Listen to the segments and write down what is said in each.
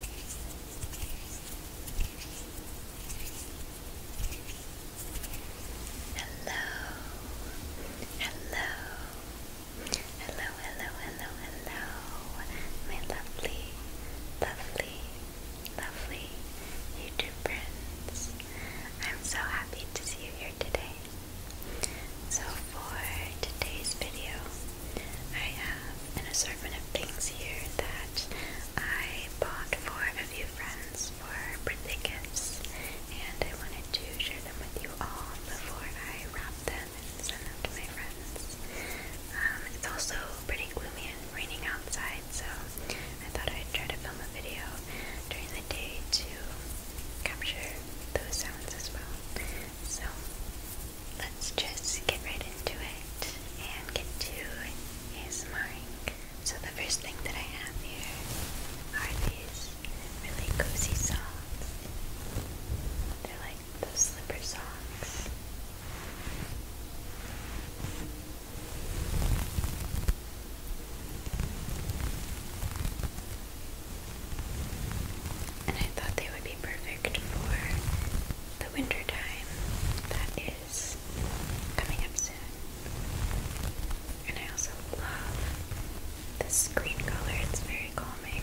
Hello, hello, hello, hello, hello, my lovely, lovely, lovely YouTube friends. I'm so happy to see you here today. So, for today's video, I have an assortment of things here that I bought for a few friends for birthday gifts, and I wanted to share them with you all before I wrap them and send them to my friends. Um, it's also pretty gloomy and raining outside, so I thought I'd try to film a video during the day to capture those sounds as well. So let's just get right into it and get to ASMRing. So the first thing that I have here are these really cozy socks. They're like those slipper socks. And I thought they would be perfect for the winter time that is coming up soon. And I also love this green color, it's very calming.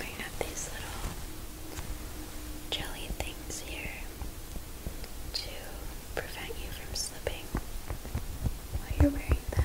I have these little jelly things here to prevent you from slipping while you're wearing them.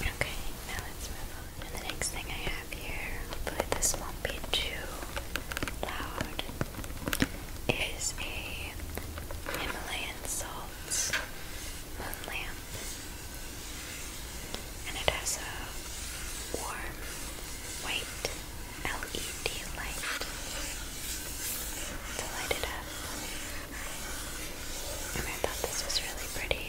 Okay, now let's move on. And the next thing I have here, hopefully this won't be too loud, is a Himalayan salts lamp and it has a warm white LED light to light it up. And I thought this was really pretty.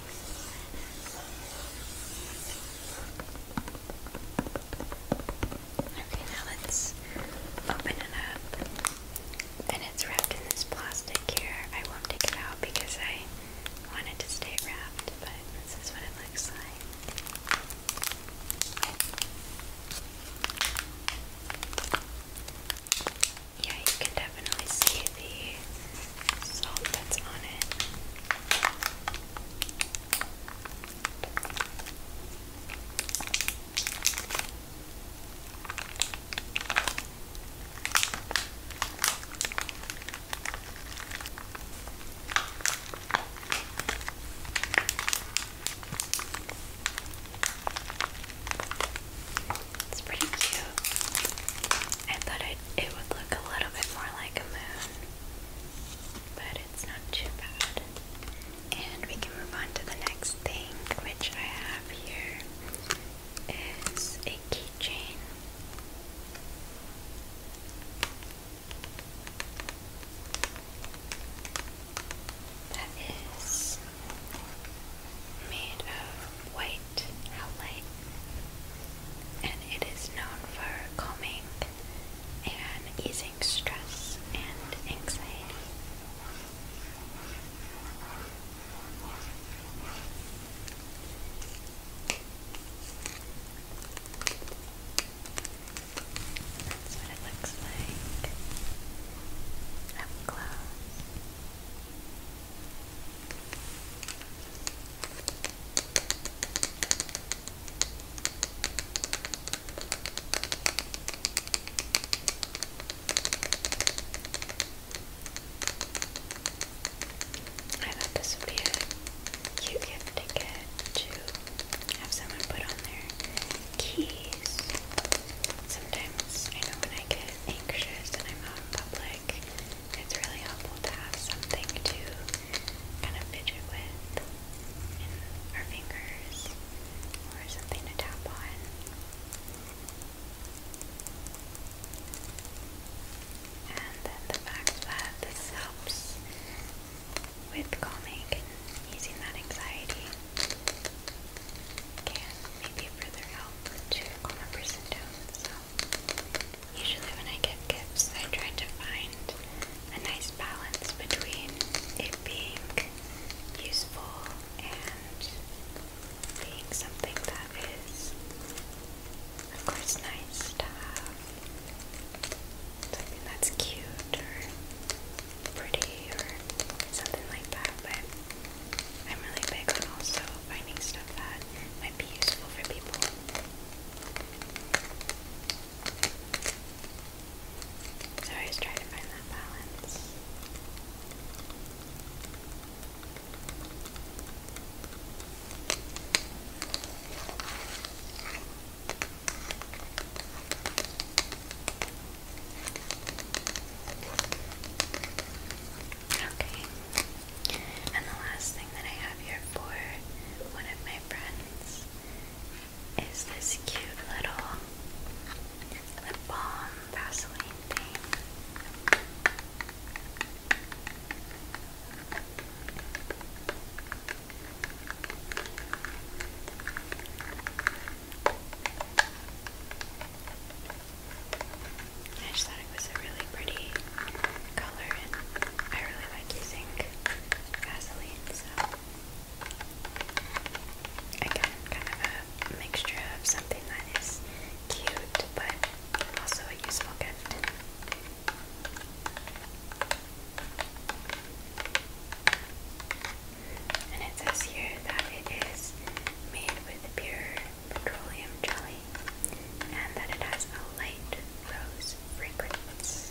Okay, now let's open it up. And it's wrapped in this plastic here. I won't take it out because I wanted to stay wrapped, but this is what it looks like. Yeah, you can definitely see the that's It's pretty cute. I thought I it would look a little bit more like a moon, but it's not too bad. And we can move on to the next thing, which I have here is a keychain. That is made of white, how light and it is known for calming and easing stress and anxiety. That's what it looks like up close. I thought this would cute gift to to have someone put on their keys. Sometimes I know when I get anxious and I'm out in public it's really helpful to have something to kind of fidget with in our fingers or something to tap on. And then the fact that this helps with calming and easing that anxiety can maybe further help to calm a person down. So Usually, when I get gifts, I try to find a nice balance between it being useful and being something that is, of course, nice to have. Something that's cute or pretty or something like that, but I'm really big on also finding stuff that might be useful for people. So I was trying to find that balance. Okay. And the last thing that I have here for one of my friends is this cute little lip balm Vaseline thing. I I just thought it was a really pretty color, and I really like using Vaseline, so I again, kind of a mixture of something that is cute, but also a useful gift. And it says here that it is made with pure petroleum jelly and that it has a light rose fragrance.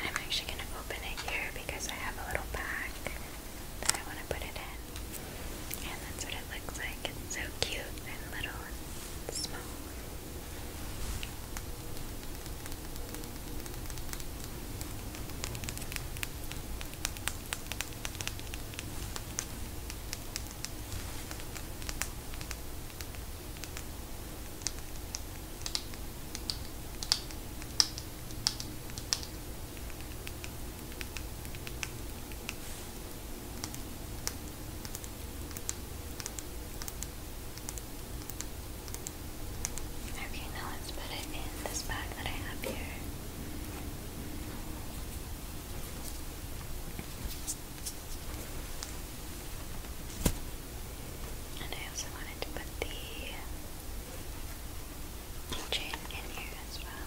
I'm actually going to open it here because I have a little bag that I want to put it in. And that's what it looks like. It's so cute and little and small. Okay, now let's put it in this bag that I have here. And I also wanted to put the chain in here as well.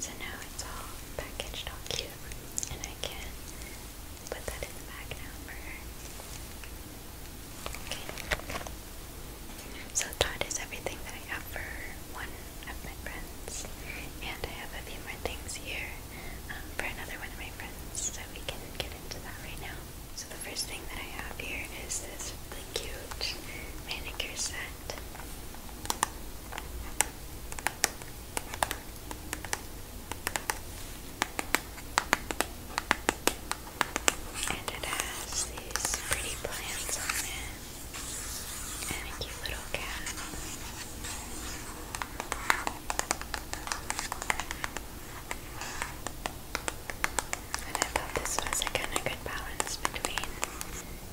So now it's all packaged all cute, and I can put that in the bag now for her. Okay. So Todd is everything that I have for one of my friends, and I have a few more things here um, for another one of my friends, so we can get into that right now. So the first thing that I have here is this really cute manicure set. And it has these pretty plants on it. And a cute little cat. And I thought this was a kind of good balance between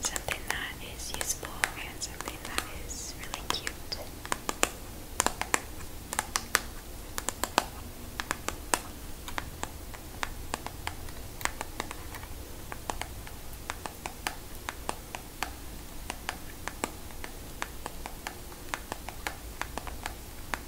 something that is useful and something that is really cute. I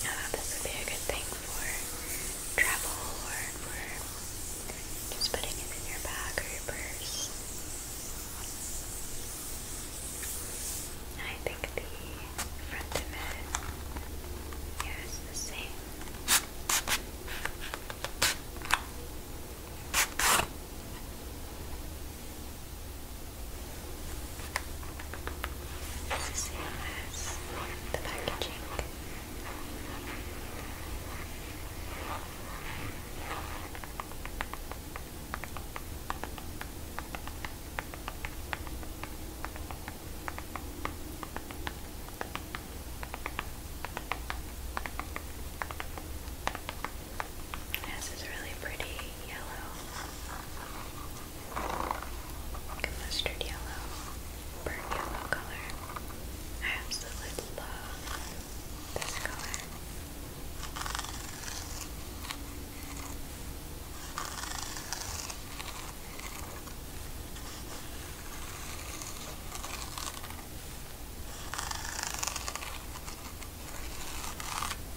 Uh, this would be a good thing for travel or for just putting it in your bag or purse. I think the front of it here is the same. It's the the packaging. This is really pretty yellow like a mustard yellow, burnt yellow color. I absolutely love this color.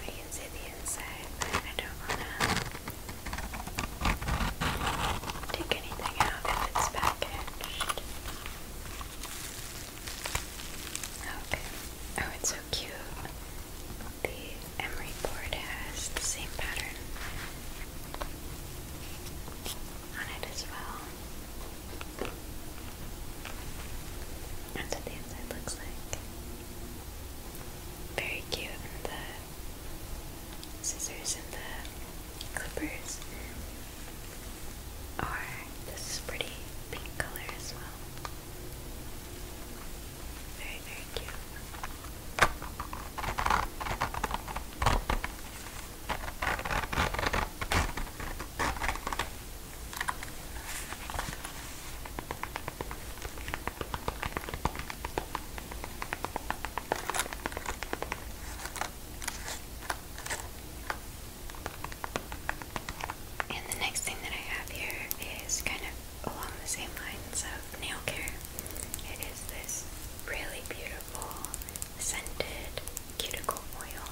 I can see the inside, I don't want to take anything out if it's packaged. Okay. Oh, it's so cute. The emery board has the same pattern on it as well. That's what the inside looks like. Very cute, the scissors and the clippers or this is pretty pink color as well. Very, very cute. And the next thing that I have here is kind of along the same lines of nail care. It is this really beautiful scented cuticle oil,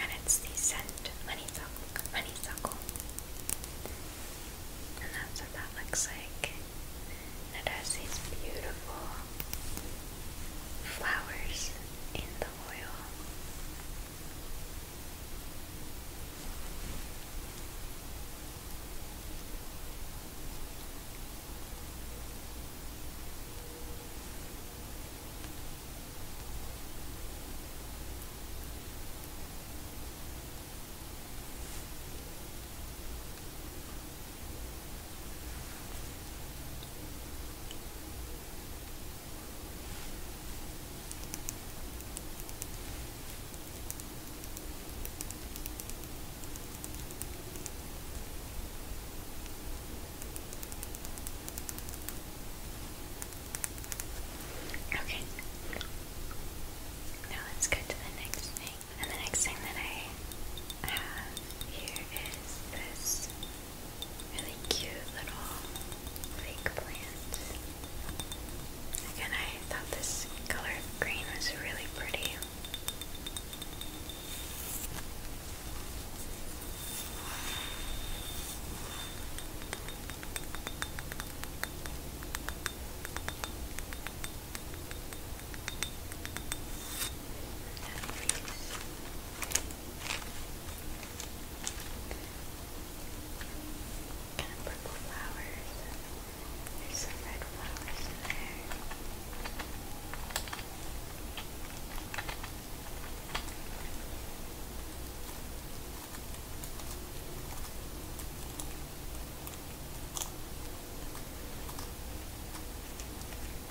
and it's the scent honeysuckle. honeysuckle. And that's what that looks like. And it has these beautiful flowers in the oil. Okay. Now let's go to the next thing. And the next thing that I have here is this really cute little fake plant. Again, I thought this color green was really pretty. Kind of purple flowers. There's some red flowers in there.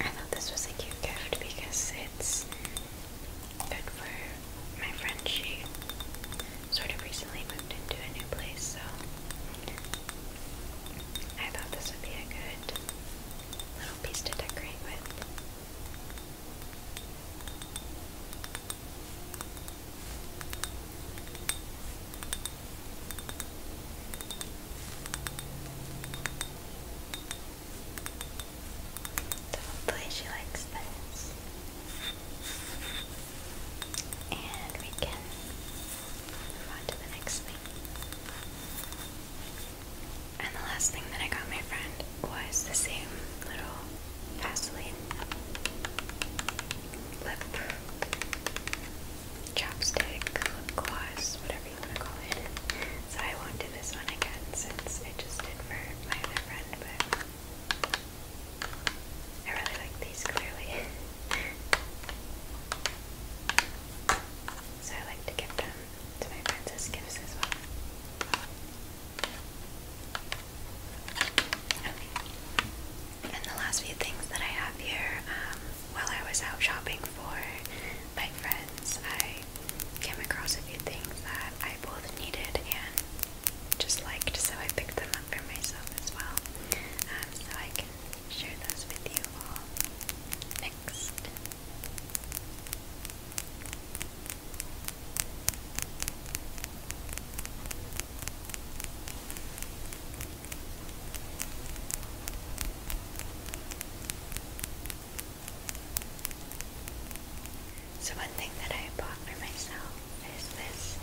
I thought this was a cute gift because it's good for my friend. She sort of recently moved into a new place, so I thought this would be a good little piece to decorate with. So hopefully she likes this. And we can move on to the next thing. And the last thing that I got my friend was the same little Vaseline lip chapstick, gloss, whatever you want to call it. So I won't do this one again since I just did for my other friend, but I really like these clearly. so I like to give them to my friends as gifts as well. Okay. And the last few things that I have here, um, while I was out shopping for my friends, I came across a few things that I both needed and just liked, so I picked them for myself as well, um, so I can share those with you all next. So one thing that I bought for myself is this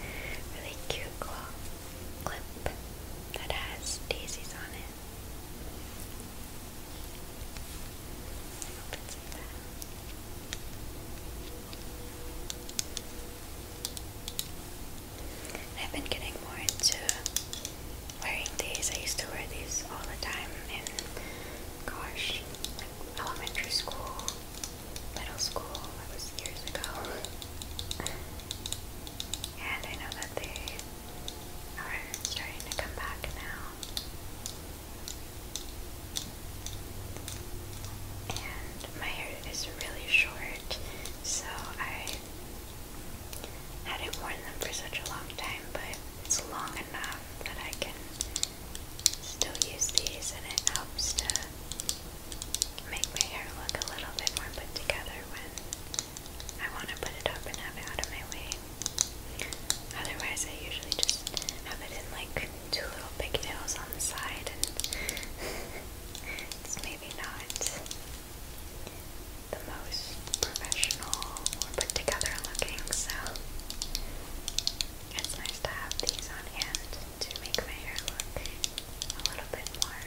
really cute clip that has daisies on it. I hope it's like that. I've been getting more into wearing these. I used to wear these all the time in, gosh, elementary school, middle school. That was years ago. And I know that they are starting to come back now. And my hair is really short, so I hadn't worn them for such a long time, but it's long enough that I can still use these and it helps to make my hair look a little bit more put together when I want to put it up and have it out of my way. Otherwise, I usually just have it in like two little pigtails on the side, and it's maybe not the most professional or put together looking, so it's nice to have these on hand to make my hair look a little bit more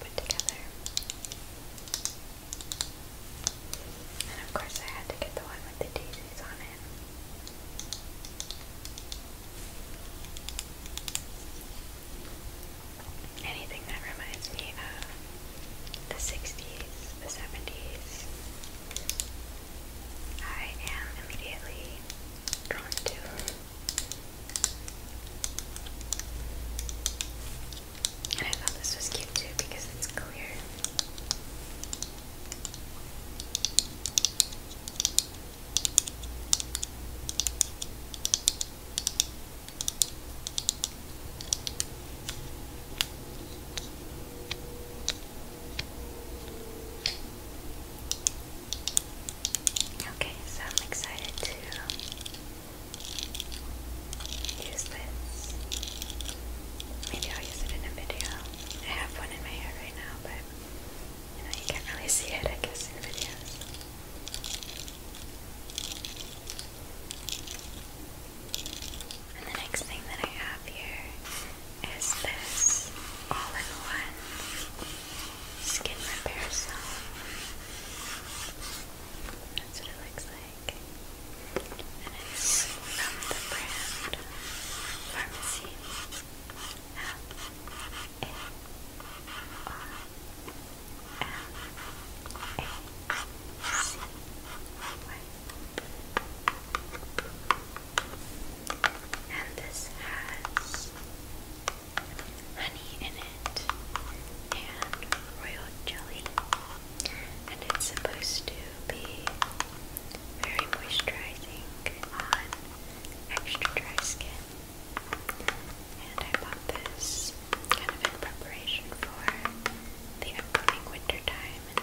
put together. And of course, I had to get the one with the daisies on it. Anything that reminds me of the 60s, the 70s, I am immediately drawn to. And I thought this was cute too because it's clear. Okay, so I'm excited to use this. Maybe I'll use it in a video. I have one in my hair right now, but you can't really see it, I guess, in videos. And the next thing that I have here is this all in one skin repair salve. That's what it looks like. And it's from the brand Pharmacy. And this has honey in it and royal jelly. And it's supposed to be very moisturizing on extra dry skin. And I bought this kind of in preparation for the upcoming winter time and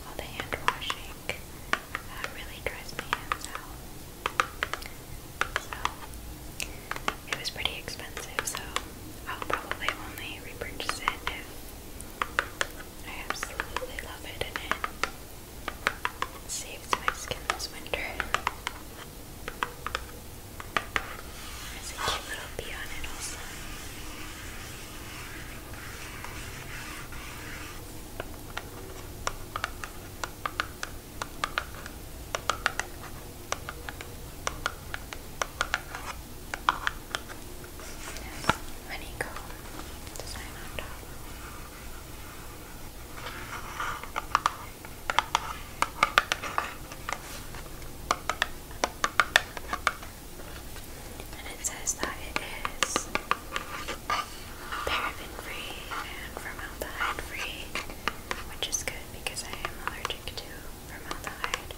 all the hand washing. Uh, really dries my hands out. So it was pretty expensive, so I'll probably only repurchase it if I absolutely love it and it saves my skin this winter. There's a cute little bee on it also honeycomb design on top. And it says that it is paraben-free and formaldehyde-free, which is good because I am allergic to formaldehyde.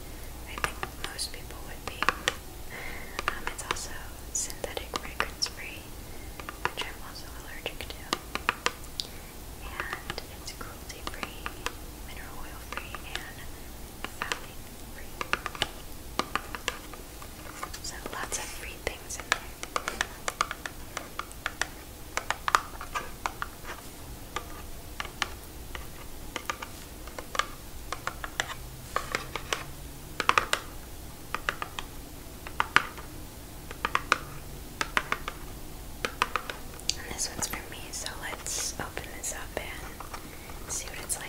I think most people would be. Um, it's also synthetic fragrance-free, which I'm also allergic to. And it's cruelty-free, mineral oil-free, and phthalate-free. So lots of free things in there this one's for me, so let's open this up and see what it's like.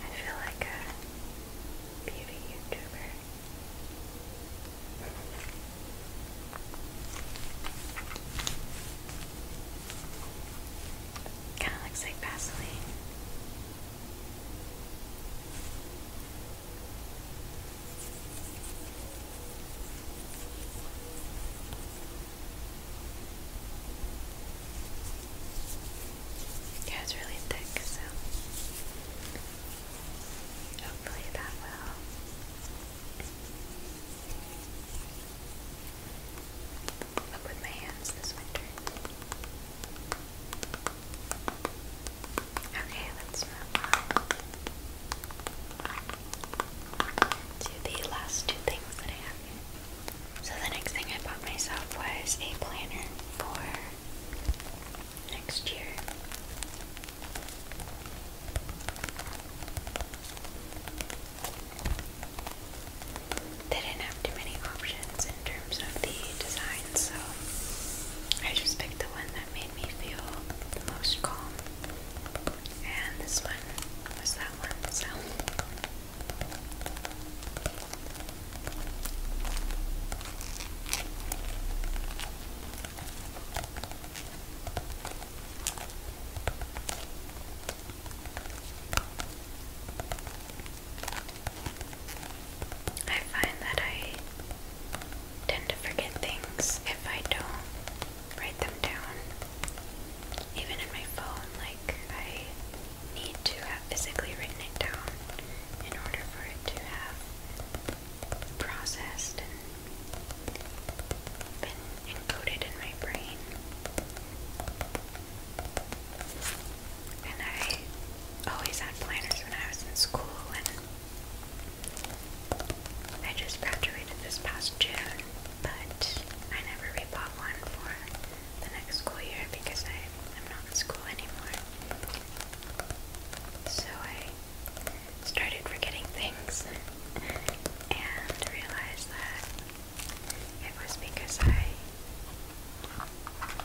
I feel like a beauty YouTuber. Kind of looks like Vaseline. Yeah, it's really thick, so hopefully that will. Okay, let's move on to the last two things that I have So the next thing I bought myself was a planner for next year. They didn't have too many options in terms of the design, so I just picked the one that made me feel the most calm. And this one was that one, so. I find that I tend to forget things if I don't write them down. Even in my phone, like I need to have physically written it down in order for it to have processed and been encoded in my brain. And I always had planners when I was in school, and I just graduated this past June, but I never re-bought one for the next school year because I am not in school anymore. So I started forgetting things and realized that it was because I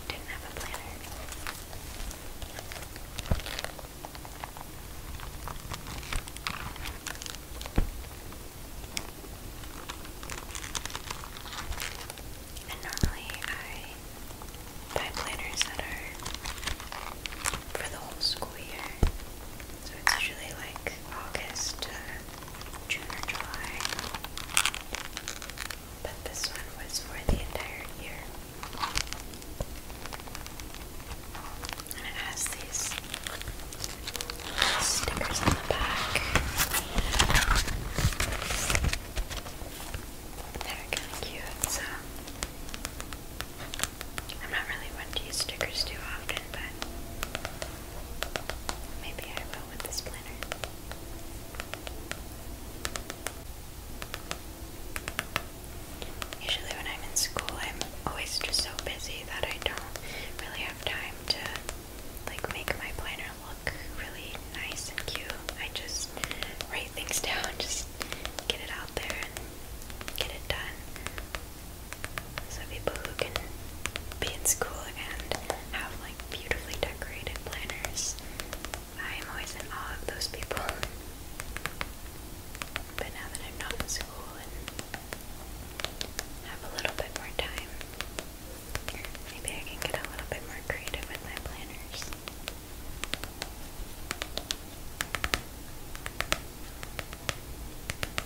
didn't have a planner. And normally I buy planners that are for the whole school year. So it's usually like August June or July. But this one was for the entire year. And it has these stickers on the back. They're kind of cute, so I'm not really one to use stickers too often, but maybe I will with this Usually, when I'm in school, I'm always just so busy that I don't really have time to like make my planner look really nice and cute. I just write things down, just get it out there, and get it done. So people who can be in school and have like beautifully decorated planners. I am always in awe of those people. But now that I'm not in school and have a little bit more time, maybe I can get a little bit more creative with my planners.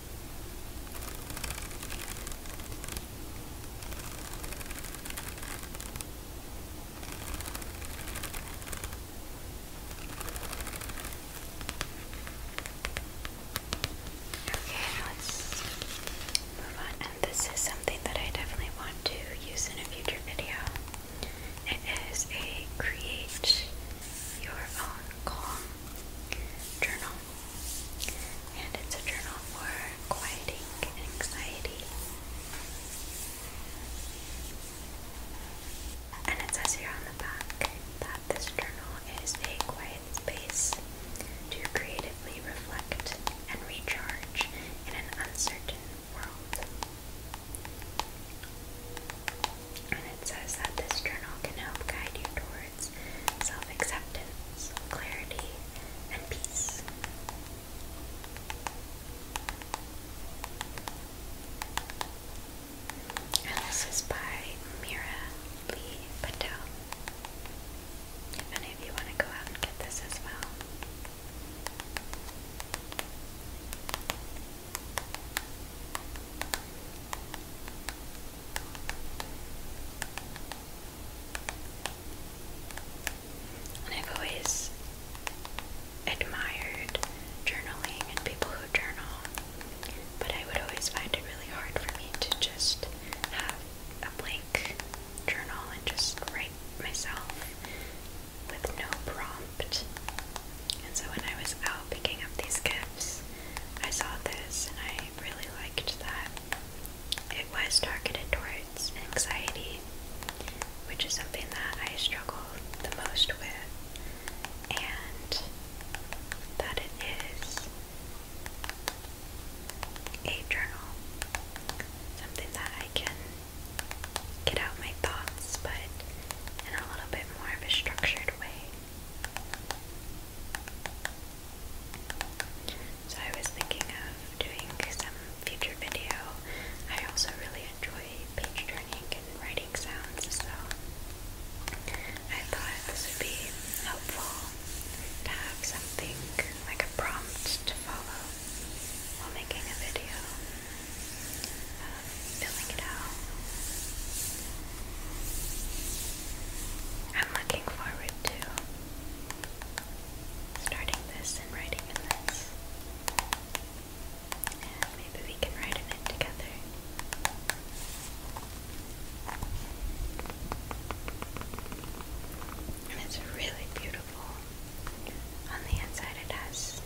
Okay, let's move on. And this is something that I definitely want to use in a future video. It is a create your own call journal. And it's a journal for quieting anxiety. And it says here on the back that this journal is a quiet space to creatively reflect and recharge in an uncertain world. And it says that this journal can help guide you towards self acceptance, clarity, and peace. And this is by Mira Lee Patel. If any of you want to go out and get this as well. And I've always admired journaling and people who journal, but I would always find it really hard for me to just have a blank journal and just write myself with no prompt. And so when I was out picking up these gifts, I saw this and I really liked that. It was targeted towards anxiety, which is something that I struggle the most with, and that it is a journal, something that I can get out my thoughts, but in a little bit more of a structured way. So I was thinking of doing some future video. I also really enjoy page turning and writing sounds, so I thought this would be helpful to have something like a prompt to follow while making a video. Um, filling it out. I'm looking forward to starting this and writing in this. And maybe we can write in together. And it's really beautiful. On the inside, it has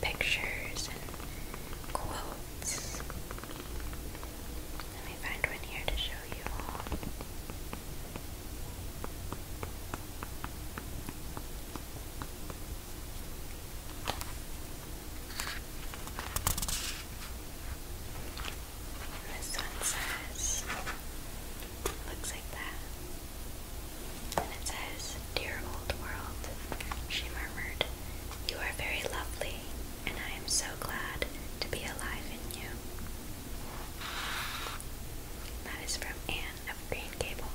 pictures and quotes let me find one here to show you all. this one says, looks like that. And it says, Dear old world, she murmured, you are very lovely and I am so glad to be alive in you. That is from Anne of Green Gables.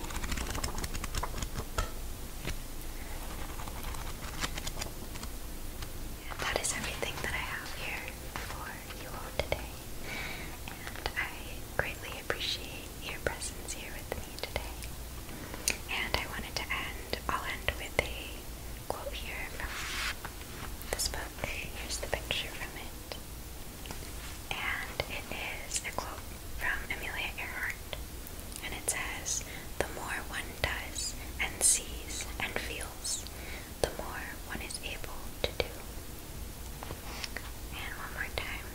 And that is everything that I have here for you today. And I greatly appreciate your presence here with me today. And I wanted to end, I'll end with a quote here from this book. Here's the picture from it. And it is a quote from Amelia Earhart. And it says, The more one does and sees and feels, the more one is able to do. And one more time.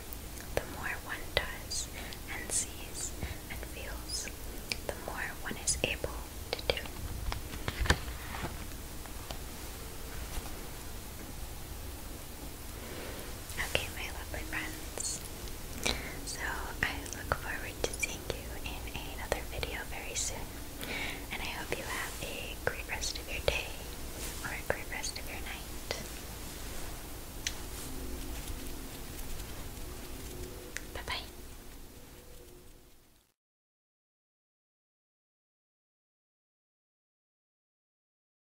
The more one does and sees and feels, the more one is able to do. Okay, my lovely friends. So I look forward to seeing you in another video very soon. And I hope you have a great rest of your day or a great rest of your night. Bye bye.